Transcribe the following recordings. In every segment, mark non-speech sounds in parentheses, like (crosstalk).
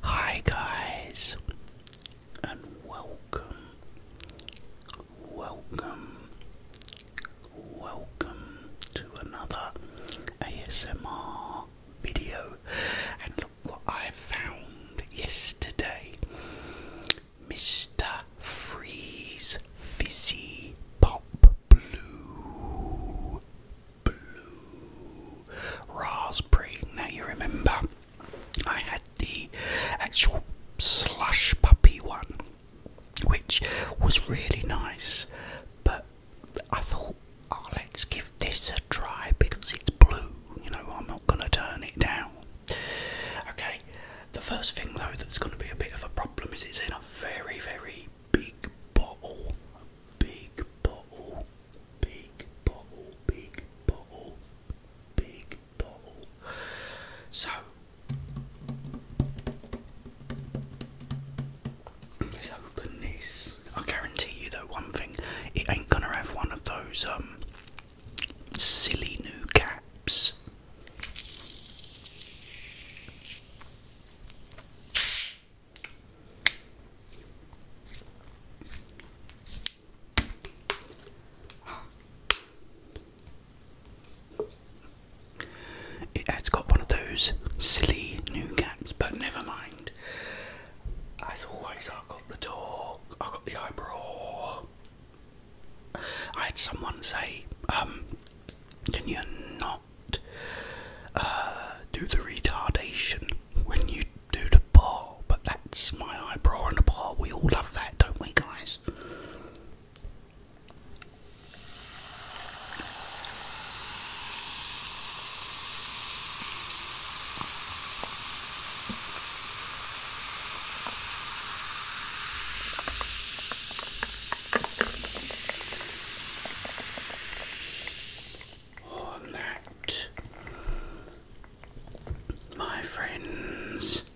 Hi, guys, and welcome, welcome, welcome to another ASMR video. And look what I found yesterday Mr. Freeze Fizzy Pop Blue blue raspberry. Now you remember, I had the actual slush puppy one, which was really nice, but I thought, oh, let's give this a try because it's blue. You know, I'm not going to turn it down. Okay, the first thing though that's going to be a bit of a problem is it's in a very, very big bottle big bottle, big bottle, big bottle, big bottle. So let's open this. I guarantee you though one thing, it ain't gonna have one of those um silly new caps. It has got one of those silly new caps, but never mind. As always, I got the talk, I got the eyebrow. I had someone say, um, can you not uh, do the retardation when you do the bar, but that's my eyebrow and the bar. We all love that, don't we, guys? that, my friends.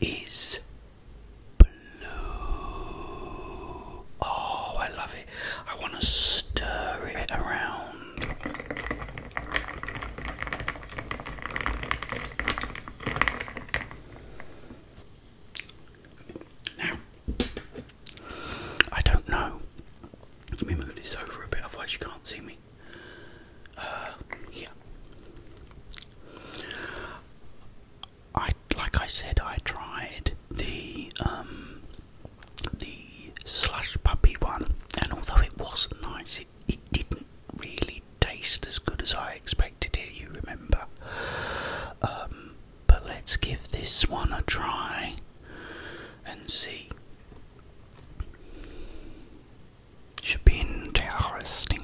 Is blue. Oh, I love it. I want to stir it around. I don't know. Let me move this over a bit, otherwise, you can't see me. yeah. Uh, I like I said, I tried the um, the slush puppy one, and although it wasn't nice, it, didn't really taste as good as I expected it, you remember. Um, but let's give this one a try and see. Should be interesting.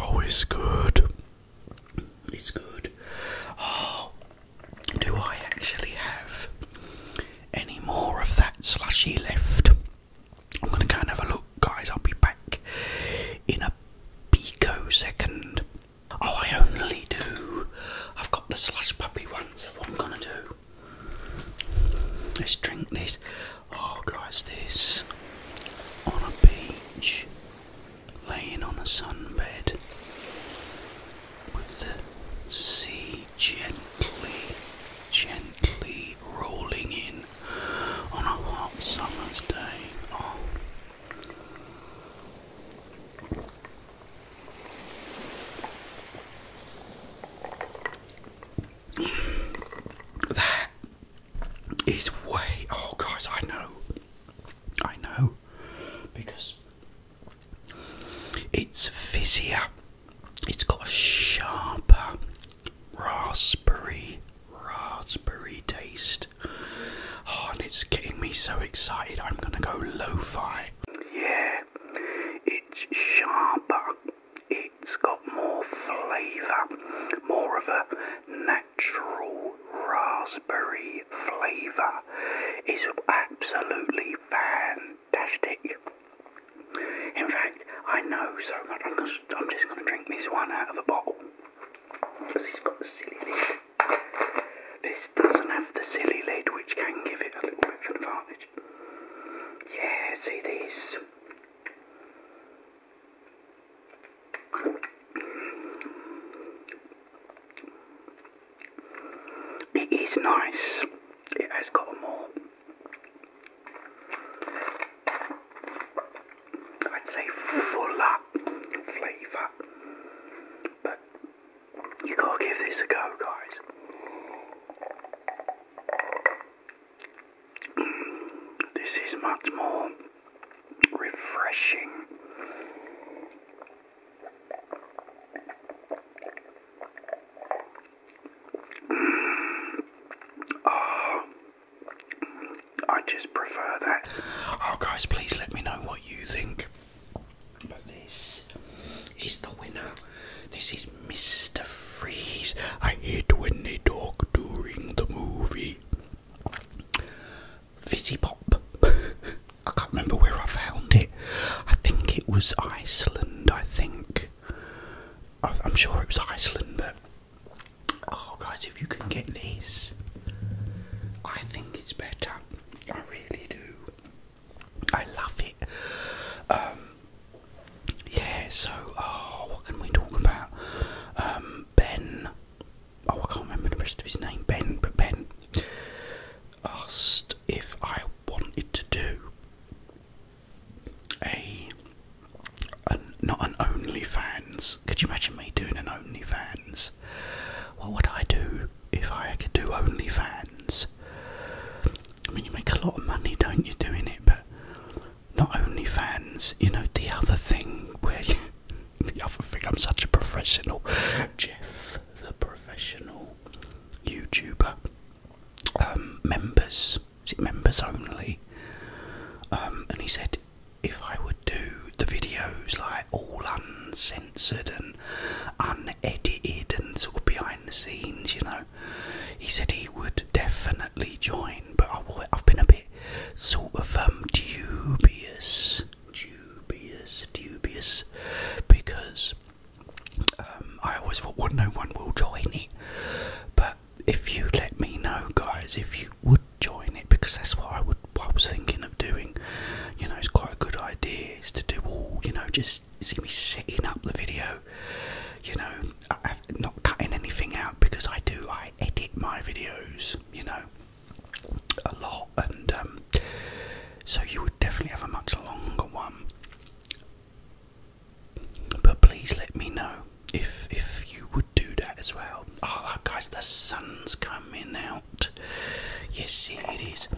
Oh, it's good. It's good. Oh, do I actually have any more of that slushy left? I'm going to go and have a look, guys. I'll be back in a pico second. Oh, I only do. I've got the slush puppy one, so what I'm going to do. Let's drink this. Oh, guys, this on a beach, laying on a sunbed, with the sea gently, gently rolling in on a hot summer's day. Oh. (sighs) that is way. Oh, guys, I know. I know. Because it's fizzier. It's got a sharper raspberry, raspberry taste. Oh, and it's getting me so excited. I'm going to go lo fi. Yeah, it's sharper it's got more flavour, more of a natural raspberry flavour. It's absolutely fantastic. In fact, I know so much. I'm just, going to drink this one out of the bottle because it's got the silly lid. This doesn't have the silly lid, which can give it a little bit of an advantage. Yes, it is. It is nice. It has got more, I'd say, fuller flavour. But you gotta give this a go, guys. (clears throat) this is much more refreshing. (clears throat) Ah, I just prefer that. Oh, guys, please let me know what you think. But this is the winner. This is Mr. Freeze. I hate when they talk during the movie the fizzy pop. (laughs) I can't remember where I found it. I think it was Iceland. I think I'm sure it was Iceland, but oh, guys, if you can get these, I think it's better. I really do. I love it. Um, yeah. So, oh, what can we talk about? Um, Ben. Oh, I can't remember the rest of his name. Ben, but Ben asked if I wanted to do a, an, not an OnlyFans. Could you imagine me doing an OnlyFans? What would I do if I could do OnlyFans? I mean, you make a lot of money, don't you, doing it? But not only fans, you know, the other thing where (laughs) the other thing, I'm such a professional, Jeff, the professional YouTuber, um, members, is it members only? Um, and he said if I would do the videos like all uncensored and unedited and sort of behind the scenes, you know, he said he would definitely join but I, have been a bit sort of um, dubious, dubious, dubious, because um, I always thought, well, no one will join it. But if you let me know, guys, if you would join it, because that's what I would, I was thinking of doing. You know, it's quite a good idea is to do all, you know, just see me setting up the video. You know, not cutting anything out because I do I edit my videos, you know, a lot, and um, so you would definitely have a much longer one. But please let me know if if you would do that as well. Oh, guys, the sun's coming out. Yes, it is.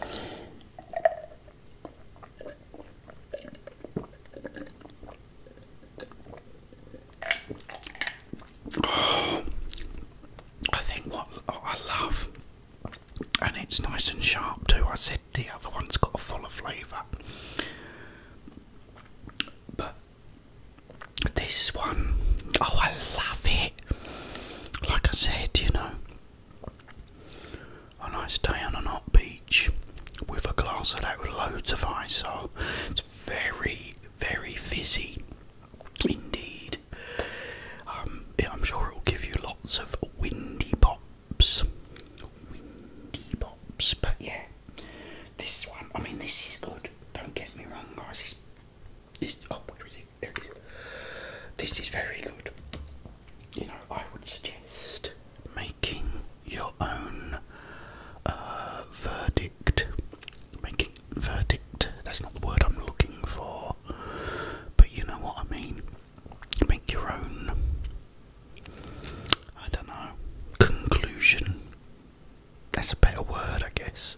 Oh, I think what I love, and it's nice and sharp too. I said the other one's got a fuller flavour, but this one, oh, I love it. Like I said, you know, a nice day on a hot beach with a glass of that with loads of ice. So oh, it's very, very fizzy indeed. Um, I'm sure it will give you lots of windy pops. Windy pops, but yeah, this one. I mean, this is good. Don't get me wrong, guys. This, this oh, where is it? There it is. This is very good. You know, I would suggest making your own uh, verdict making verdict. That's not the word I'm looking for, but you know what I mean. Make your own. I don't know. Conclusion. That's a better word, I guess.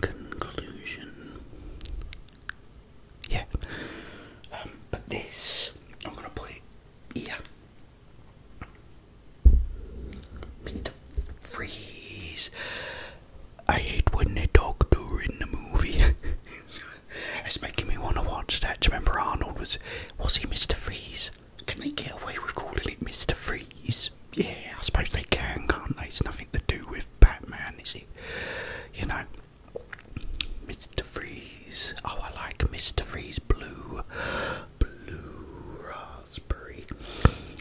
Conclusion. Yeah. Um, but this, I'm going to put it here Mr. Freeze. I hate when they talk during the movie. (laughs) it's making me want to watch that. Do you remember Arnold was was he Mr. Freeze? Can they get away with calling it Mr. Freeze? Yeah, I suppose they can, can't they? It's nothing to do with Batman, is it? You know, Mr. Freeze. Oh, I like Mr. Freeze Blue blue raspberry.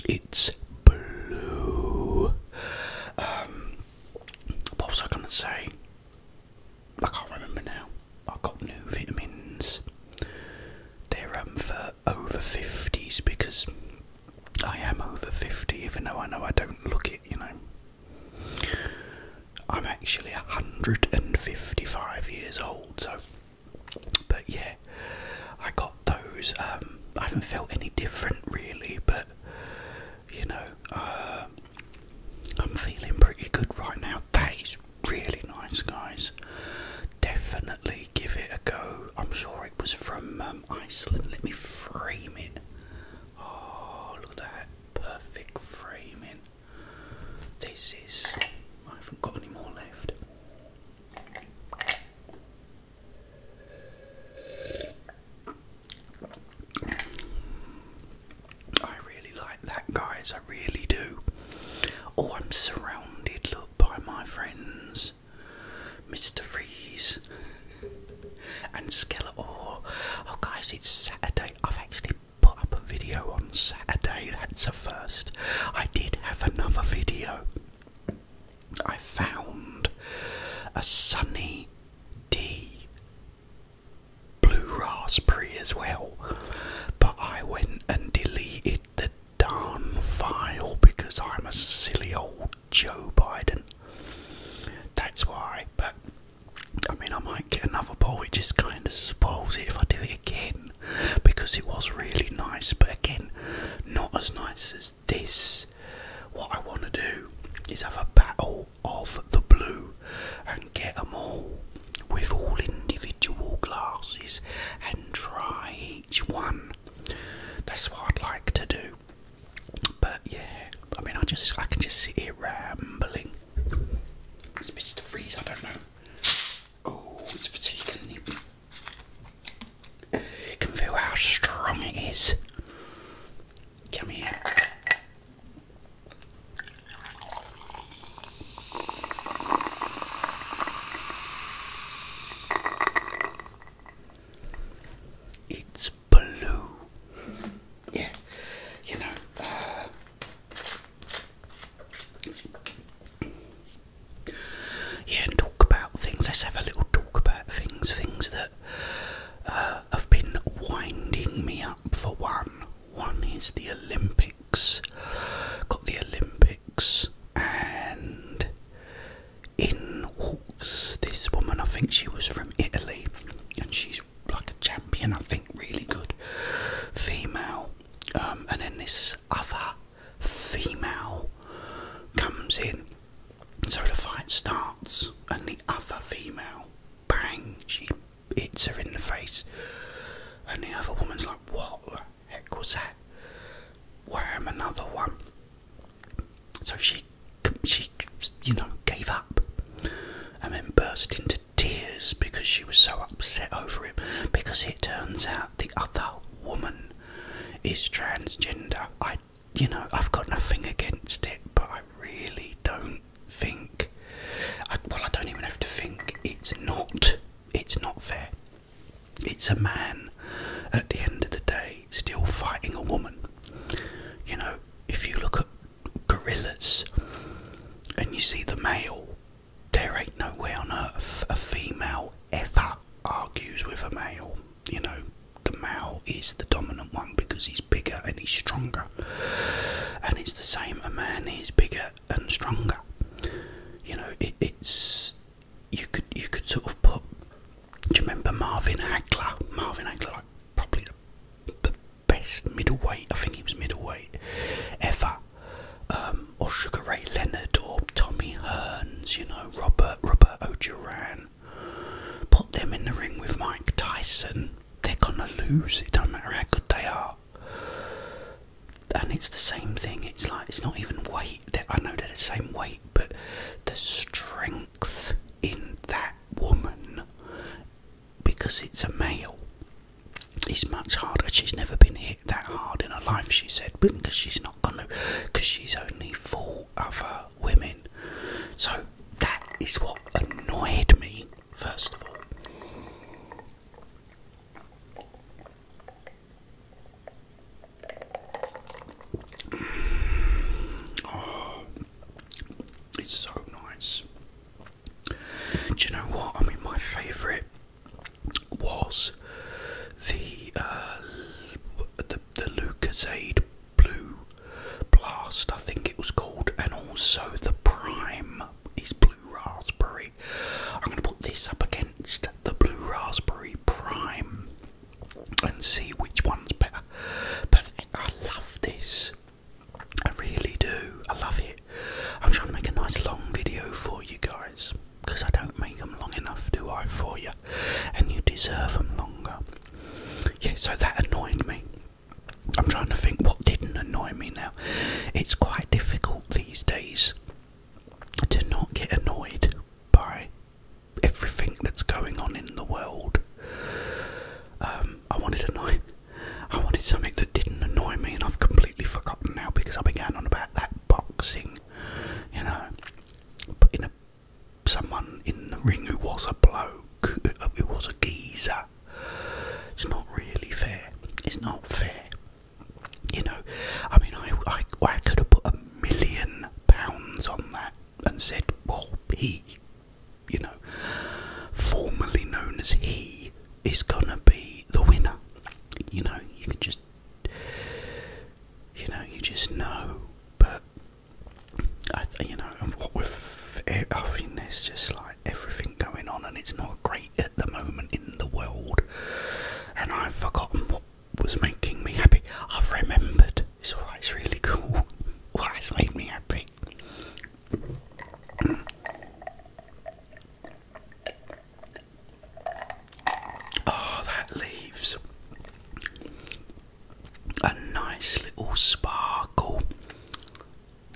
It's blue. Um, what was I going to say? I can't remember now. I got new vitamins. They're um, for over 50s because I am over 50, even though I know I don't look it, you know. I'm actually 155 years old, so but yeah, I got those. Um, I haven't felt any different really, but you know, uh, I'm feeling pretty good right now. That is really nice, guys. Definitely give it a go. I'm sure it was from um, Iceland. Let me frame it. Oh, look at that perfect framing. This is. I haven't got any more left. I really like that, guys. I really do. Oh, I'm surrounded, by my friends Mr. Freeze and Skeletor. Oh, guys, it's Saturday. I've actually put up a video on Saturday. Saturday, that's a first, I did have another video. I found a Sunny D blue raspberry as well, but I went and deleted the darn file because I'm a silly old Joe Biden. That's why, but I mean, I might get another bowl, it just kind of spoils it if I do it again because it was really nice, but again, not as nice as this. What I want to do is have a battle of the blue and get them all with all individual glasses and try each one. That's what I'd like to do. But yeah, I mean, I just I can just sit here rambling. It's Mr. Freeze, I don't know. Oh, it's fatiguing. Can feel how strong it is. Come here. It's blue. Yeah, you know. Uh, yeah, and talk about things. Let's have a little talk about things. Things that uh, have been winding me up for one. One is the Olympics. Got the Olympics, and in walks this woman. I think she was from Italy, and she's like a champion, I think, really good female. Um, and then this other female comes in. So the fight starts, and the other female, bang, she hits her in the face. And the other woman's like, What the heck was that? Wham, another one. So she, she, you know, gave up and then burst into tears because she was so upset over him. Because it turns out the other woman is transgender. I, you know, I've got nothing against it, but I really don't think. I, well, I don't even have to think. It's not. It's not fair. It's a man, at the end of the day, still fighting a woman. You know, if you look at gorillas and you see the male there ain't no way on earth a female ever argues with a male. You know, the male is the dominant one because he's bigger and he's stronger. And it's the same, a man is bigger and stronger. You know, it's you could you could sort of put do you remember Marvin Hagler? Marvin Hagler like probably the best middleweight, I think he was middleweight ever. Um, or Sugar Ray Leonard, or Tommy Hearns, you know, Robert Robert O'Duran. Put them in the ring with Mike Tyson, they're gonna lose. It does not matter how good they are. And it's the same thing. It's like it's not even weight. I know they're the same weight, but the strength in that woman, because it's a male, is much harder. She's never been hit that hard in her life, she said, because she's not going to, because she's only four other women. So that is what annoyed me, first of all. Oh, it's so nice. Do you know what? I mean, my favourite was uh, the the Lucasade Blue Blast, I think it was called, and also the Prime is Blue Raspberry. I'm going to put this up against the Blue Raspberry Prime and see which one's better. But I love this. I really do. I love it. I'm trying to make a nice long video for you guys because I don't make them long enough, do I, for you? And you deserve them longer. Yeah, so that annoyed me. I'm trying to think what didn't annoy me now. It's quite difficult these days to not get annoyed by everything that's going on in the world. Um, I wanted annoy I wanted something that didn't annoy me and I've completely forgotten now because I began on about that boxing you know, putting a, someone in the ring who was a bloke, uh, who was a geezer. It's not really fair. It's not fair. You know, I mean, I, I, I could have put a million pounds on that and said, well, he, you know, formerly known as he, is gonna be the winner. You know, you can just you know, you just know. But I, you know, and what with I mean, there's just like everything going on, and it's not great at the moment in the world. And I've forgotten what was making me happy. I've remembered. It's alright. It's really cool. (laughs) What has made me happy. Oh, that leaves a nice little sparkle.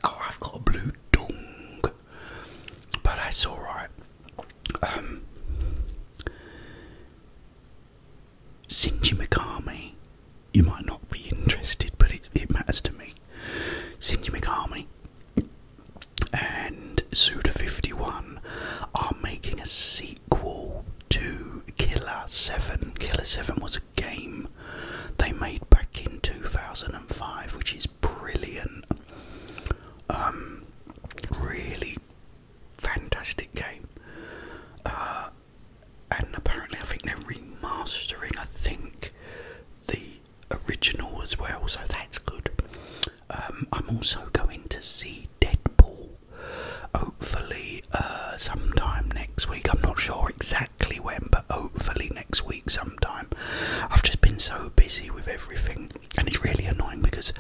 Oh, I've got a blue dung, but that's alright. Um, Shinji Mikami, you might not be interested, but it, matters to me. Shinji Mikami and Suda51 are making a sequel to Killer 7. Killer 7 was a game they made back in 2005, which is brilliant. Um, really fantastic game. Uh, and apparently, I think they're remastering, I think, the original as well, so that's good. Um, I'm also going to see Deadpool. Hopefully, uh, sometime next week. I'm not sure exactly when, but hopefully next week sometime. I've just been so busy with everything, and it's really annoying because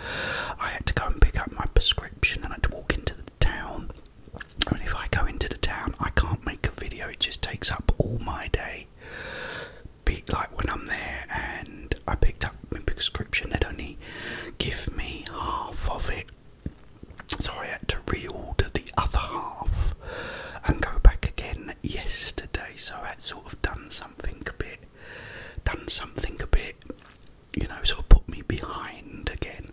I had to go and pick up my prescription and I had to walk into the town. And if I go into the town, I can't make a video, it just takes up all my day be like when I'm there and I picked up my prescription, they'd only give me half of it. So I had to reorder the other half and go back again yesterday. So I had sort of done something a bit, done something a bit, you know, sort of put me behind again.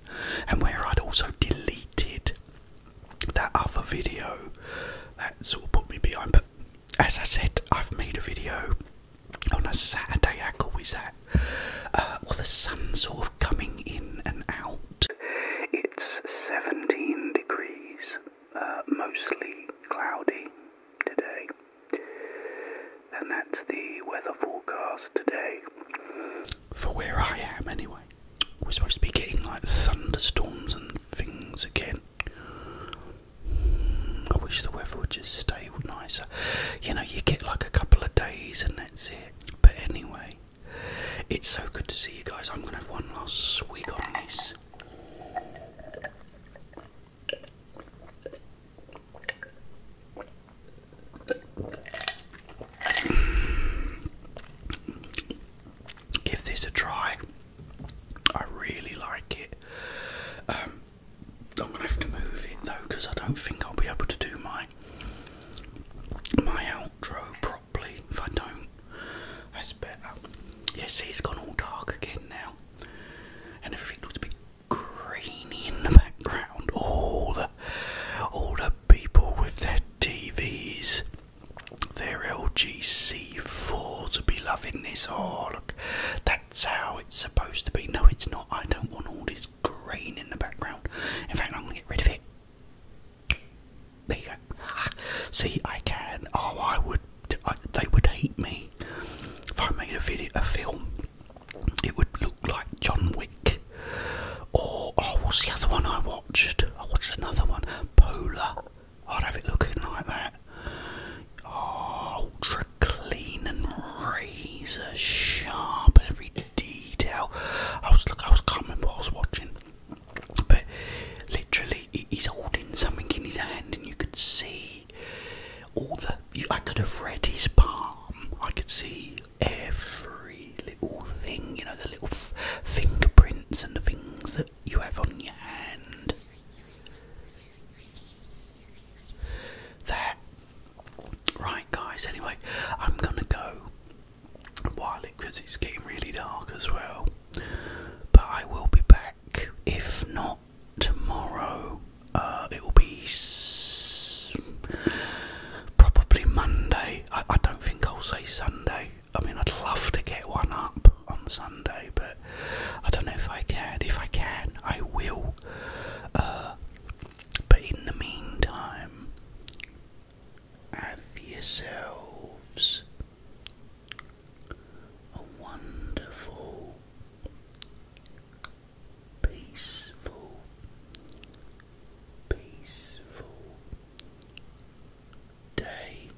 And where I'd also deleted that other video, that sort of put me behind. But as I said, I've made a video on a Saturday. I is that? well, the sun's sort of coming in and out. It's 17 degrees, uh, mostly cloudy today. And that's the weather forecast today. For where I am, anyway. We're supposed to be getting like thunderstorms and things again. I wish the weather would just stay nicer. You know, you get like a couple of days and that's it. But anyway, it's so good to see you guys. I'm going to have one last swig on this. Give this a try. I really like it. Um, I'm gonna have to move it though because I don't think I'll be able to do my my outro properly if I don't. That's better. Yeah, it's gone all dark again now, and everything looks a bit grainy in the background. All the all the people with their TVs, their LG C4s, will be loving this. Oh look, they that's how it's supposed to be. No, it's not. I don't want all this green in the background. In fact, I'm going to get rid of it. There you go. (laughs) See, I can. Oh, I would. they would hate me if I made a video, a film. It would look like John Wick. Or oh, what's the other one I watched? I watched another one, Polar. I'd have it looking like that. Oh, ultra clean and razor sharp, every detail. I was look, I was can't remember what I was watching, but literally, he's holding something in his hand, and you could see all the. I could have read his palm. I could see every little thing, you know, the little fingerprints and the things that you have on your hand. There. Right, guys, anyway, I'm gonna go while it because it's getting really dark as well. But I will be back. If not tomorrow, uh, it will be s probably Monday. I don't think I'll say Sunday. I mean, I'd love to get one up on Sunday, but I don't know if I can. If I can, I will uh, but in the meantime, have yourselves a wonderful, peaceful, peaceful day.